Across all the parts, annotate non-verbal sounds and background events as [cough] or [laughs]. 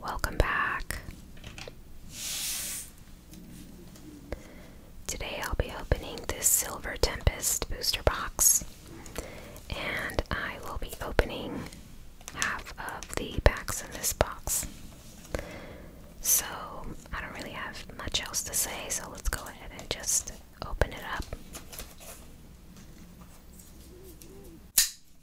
Welcome back. Today I'll be opening this Silver Tempest booster box, and I will be opening half of the packs in this box. So I don't really have much else to say, so let's go ahead and just open it up.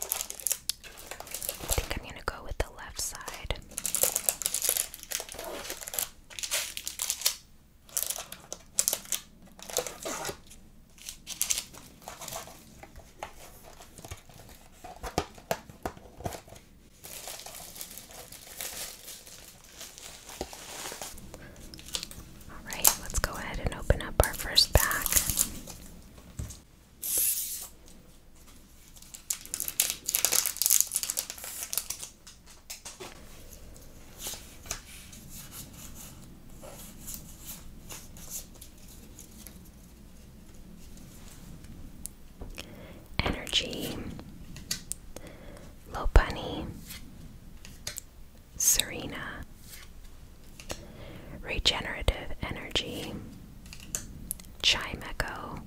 I think I'm gonna go with the left side. All right, let's go ahead and open up our first pack. Energy, Lopunny, Serena, regenerative energy, Chime echo.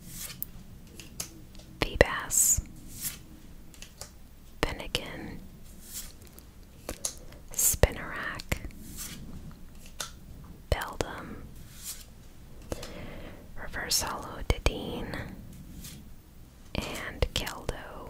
Chimeco, bass. Finnegan, Spinnerack, Beldum, Reverse Hollow Didine, and Keldo.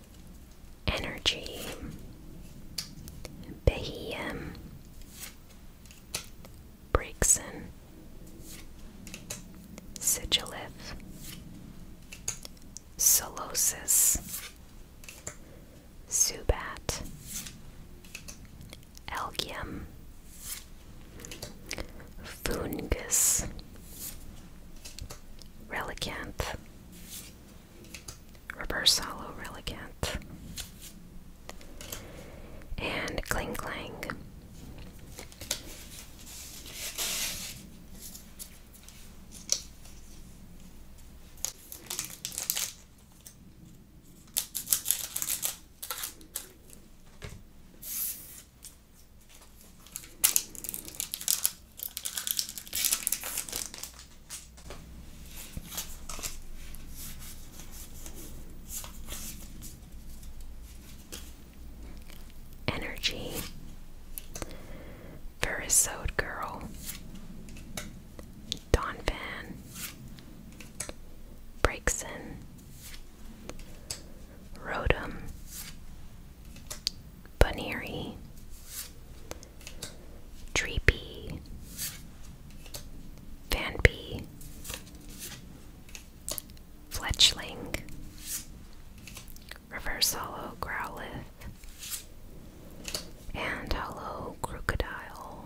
Energy, Bahia, Brixen, Sigilith, Solosis, subat, algium, Fungus, Relicanth. Reverse Hollow Relicant, and Kling Clang. Energy, Verisode Girl, Don Van, Breakson, Rotom, Bunnery, Treepy, Vanpy, Fletchling, Reverse Hollow Growlithe, and Hollow Crocodile.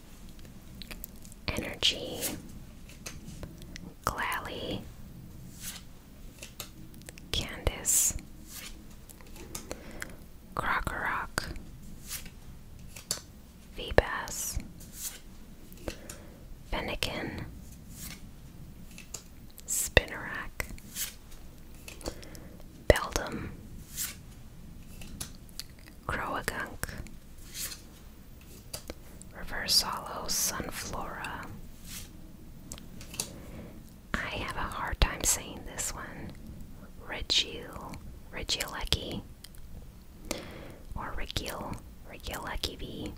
Energy, Glalie, Candice, Crocorock, Vbass, Fennekin, Spinnerack, Beldum, Croagunk, Reverse Hollow Sunflora. I have a hard time saying this one. Regil, Regilecki, or Regil, Regilecki V.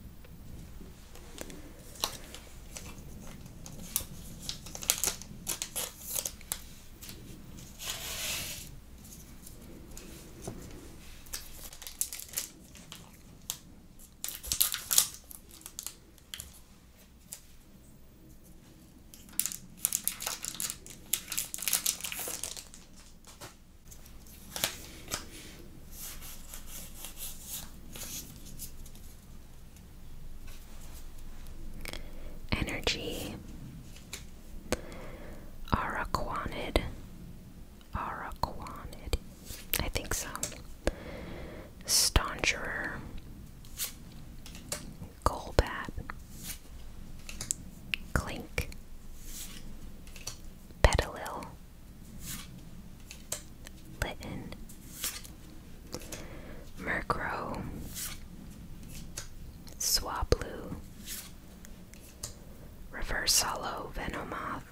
Energy Araquanid Araquanid. I think so. Stauncherer. Golbat. Clink. Petalil. Litten. Murkrow. Swablu. Reverse Hollow Venomoth,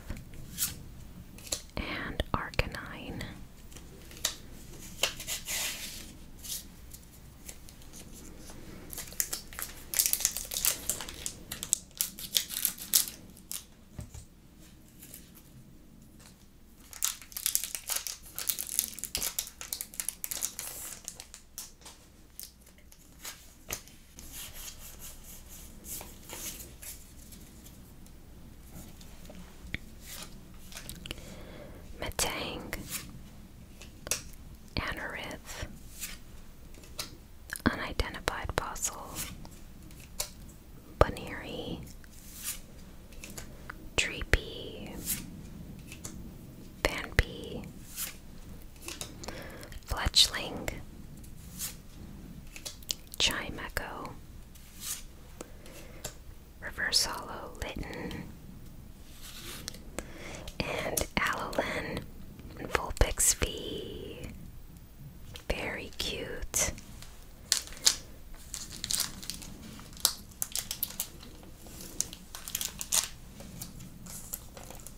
and Arcanine. Metang, Anorith, Unidentified Fossil, Buniri, Treepy, Vanpee, Fletchling, Chime Echo, Reverse Hollow Litten, and Alolan and Vulpix V. Very cute.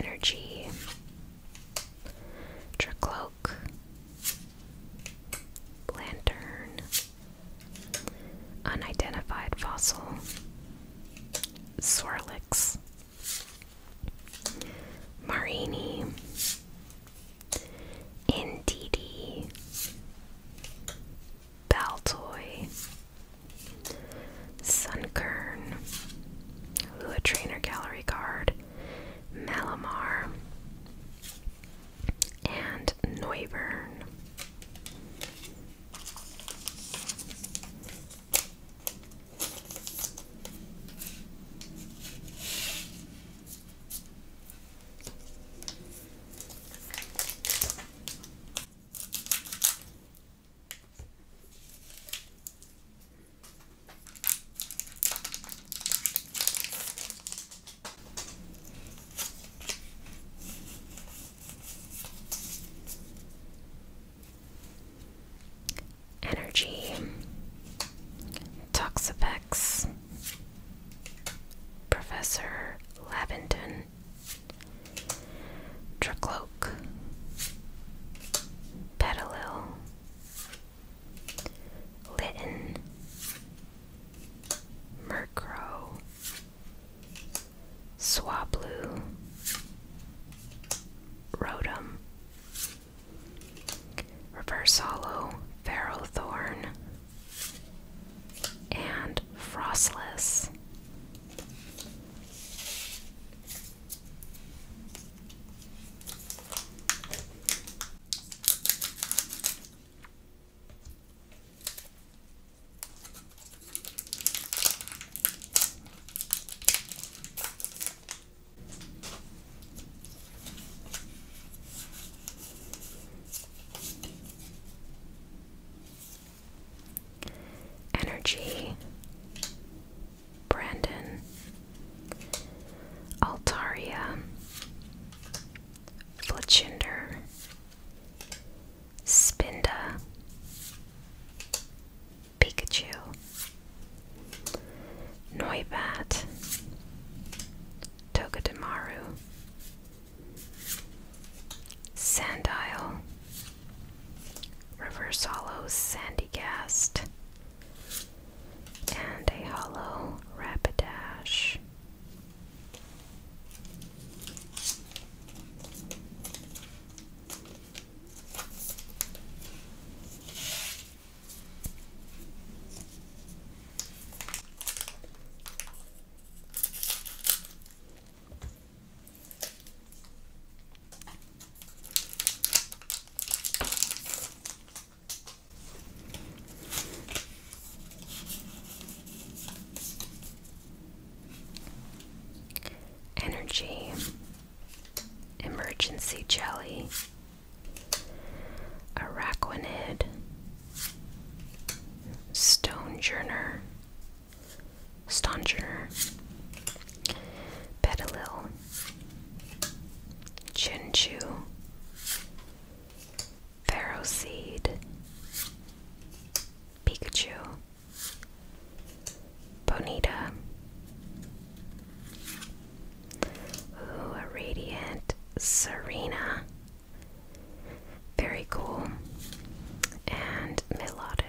Energy, tricloak, Lantern, Unidentified Fossil, Swirlix, Marini, Indeedee, Baltoy, Sunkern, Lua Trainer Gallery card, Malamar, and Neuburn. Energy, Toxapex, Professor Lavendon, Scepter, Petalil, Litten, Murkrow, Swablu, Rotom, Reverse Hollow, Ferrothorn, and frostless. Energy, Brandon, Altaria, Fletchinder, Spinda, Pikachu, Noibat, Togedemaru, Sand Isle, Reverse Hollows, Sandy Cast, and a Hollow Rapidash. Energy, emergency jelly, araquanid, Stonejourner, Stonejourner, Petalil, Chinchu, Pharaoh Seed, Pikachu, Bonita, Ooh, a Radiant, Serena, very cool and melodic.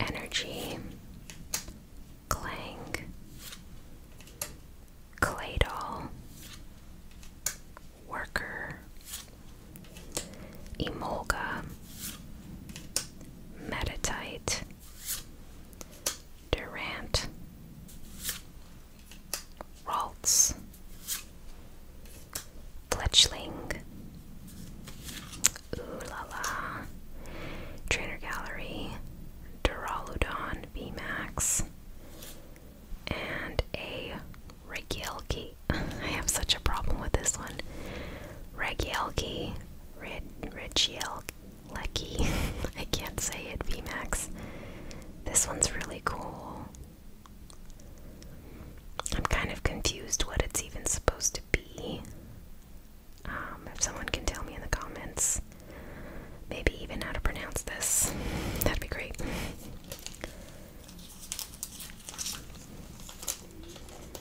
Energy, Clang, Claydol, Worker, Emolga, Metatite, Durant, Ralts, Fletchling, Ooh La La, Trainer Gallery, Duraludon Max, and a Regielki. [laughs] I have such a problem with this one. Regielki, Red Regielki. [laughs] I can't say it. VMAX. This one's really cool. I'm kind of confused what it's even supposed to be. Um, if someone can tell me in the comments, maybe even how to pronounce this, [laughs] that'd be great.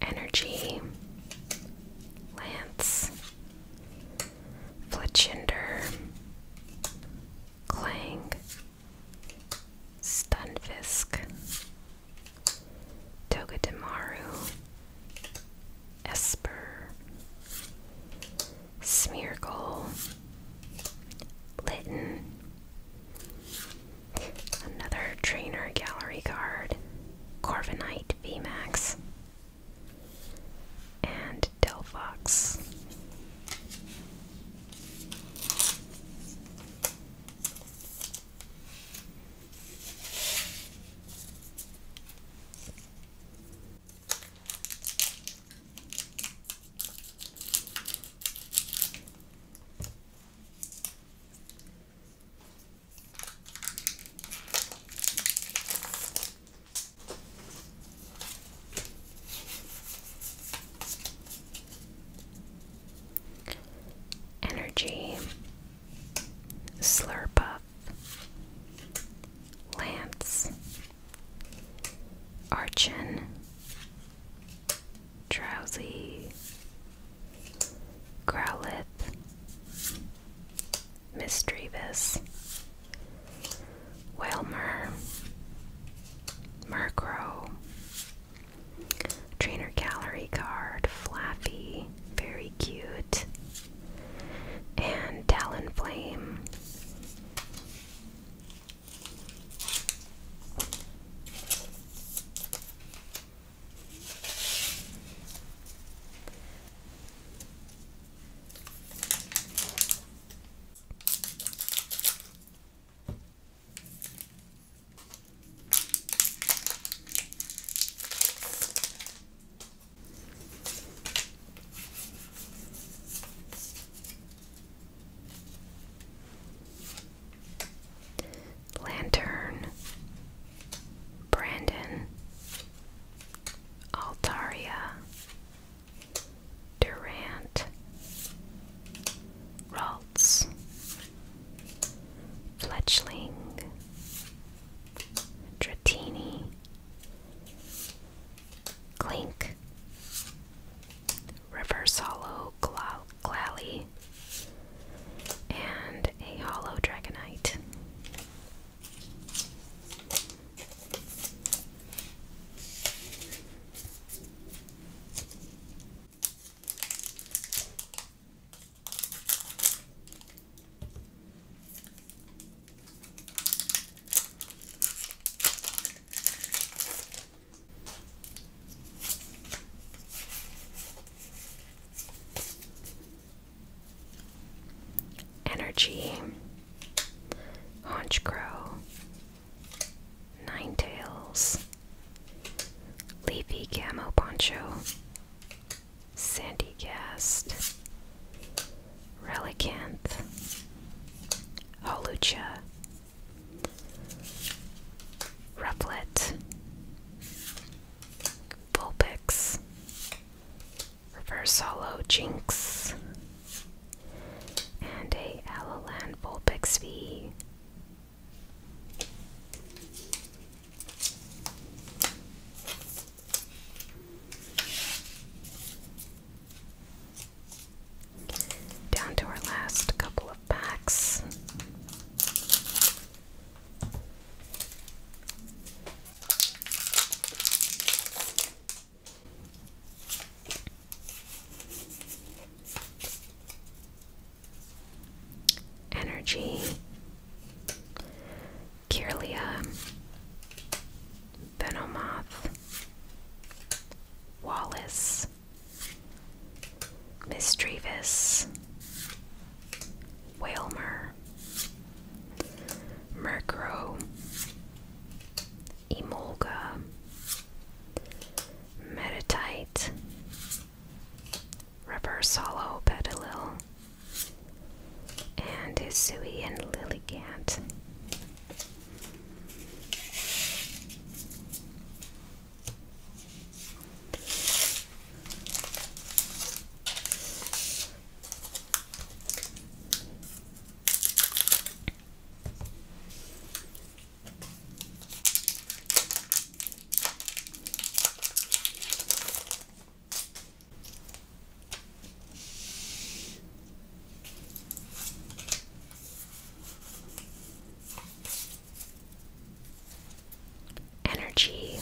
Energy, Lance, Fletchender, Clang, Stunfisk, Togedemaru, Esper, Smeargle, Litten, another trainer gallery card, Corviknight VMAX, and Delphox. Energy Slurp up. Lance, Archin, Drowsy, Growlithe, Mistrevis, Whalmer, Murkrow, Trainer Gallery Card, Flappy, very cute, and talon flame. Lantern, Brandon, Altaria, Durant, Ralts, Fletchling, Dratini, Clink, Reverse Hollow Gla Glalie, and a Hollow Dragonite. Energy, Haunch Crow, Nine Tails, Leafy Camo Poncho, Sandy cast, Relicanth, Holucha, Rufflet, Vulpix, Reverse Hollow Jinx, and a Alolan Vulpix V. Down to our last couple of packs. Energy, Kirlia, Venomoth, Wallace, Miss Mistrevis, Whalmer, Murkrow, Emolga, Meditite, Reverse Hollow Petalil, and Hisui and Lily Lilligant. Energy,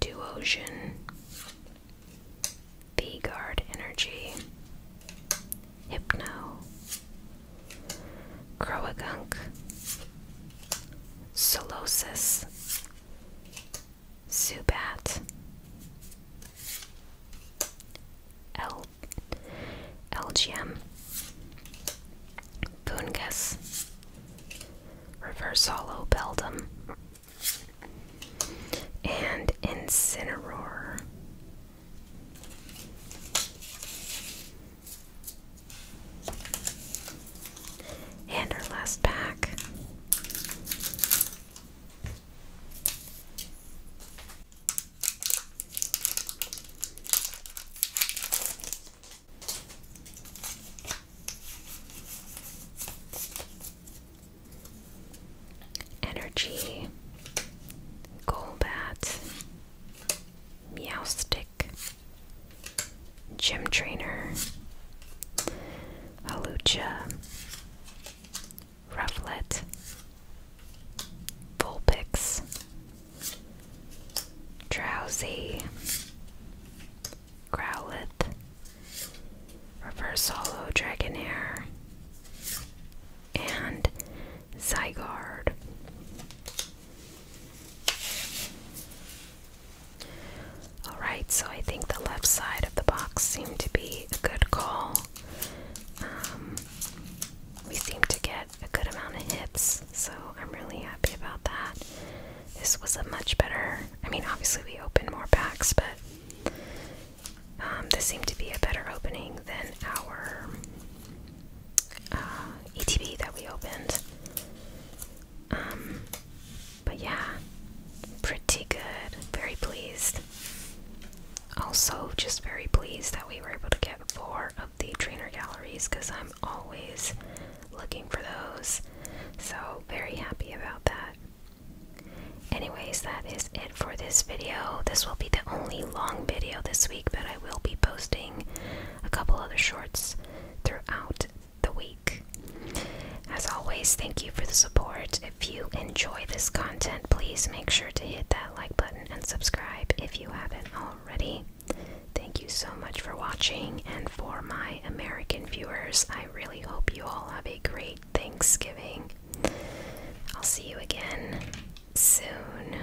Duosion, V Guard Energy, Hypno, Croagunk, Solosis, Zubat, LGM, Elgium, Reverse Reversalo Beldum, and Incineroar. And our last pack. Energy, Golbat, Meowstic, Gym Trainer, Halucha, Rufflet, Vulpix, Drowsy, Growlithe, Reverse Hollow Dragonair, and Zygarde. Alright, so I think the left side of the box seemed to be a good call. Um, we seem to get a good amount of hits, so I'm really happy about that. This was a much better, I mean, obviously we opened more packs, but um, this seemed to be a better opening than our uh, ETB that we opened. Um, but yeah, pretty good. Very pleased. Also, just very pleased that we were able to get four of the trainer galleries because I'm always looking for those. So, very happy about that. Anyways, that is it for this video. This will be the only long video this week, but I will be posting a couple other shorts throughout the week. As always, thank you for the support. If you enjoy this content, please make sure to hit that like button and subscribe if you haven't already. Thank you so much for watching, and for my American viewers, I really hope you all have a great Thanksgiving. I'll see you again soon.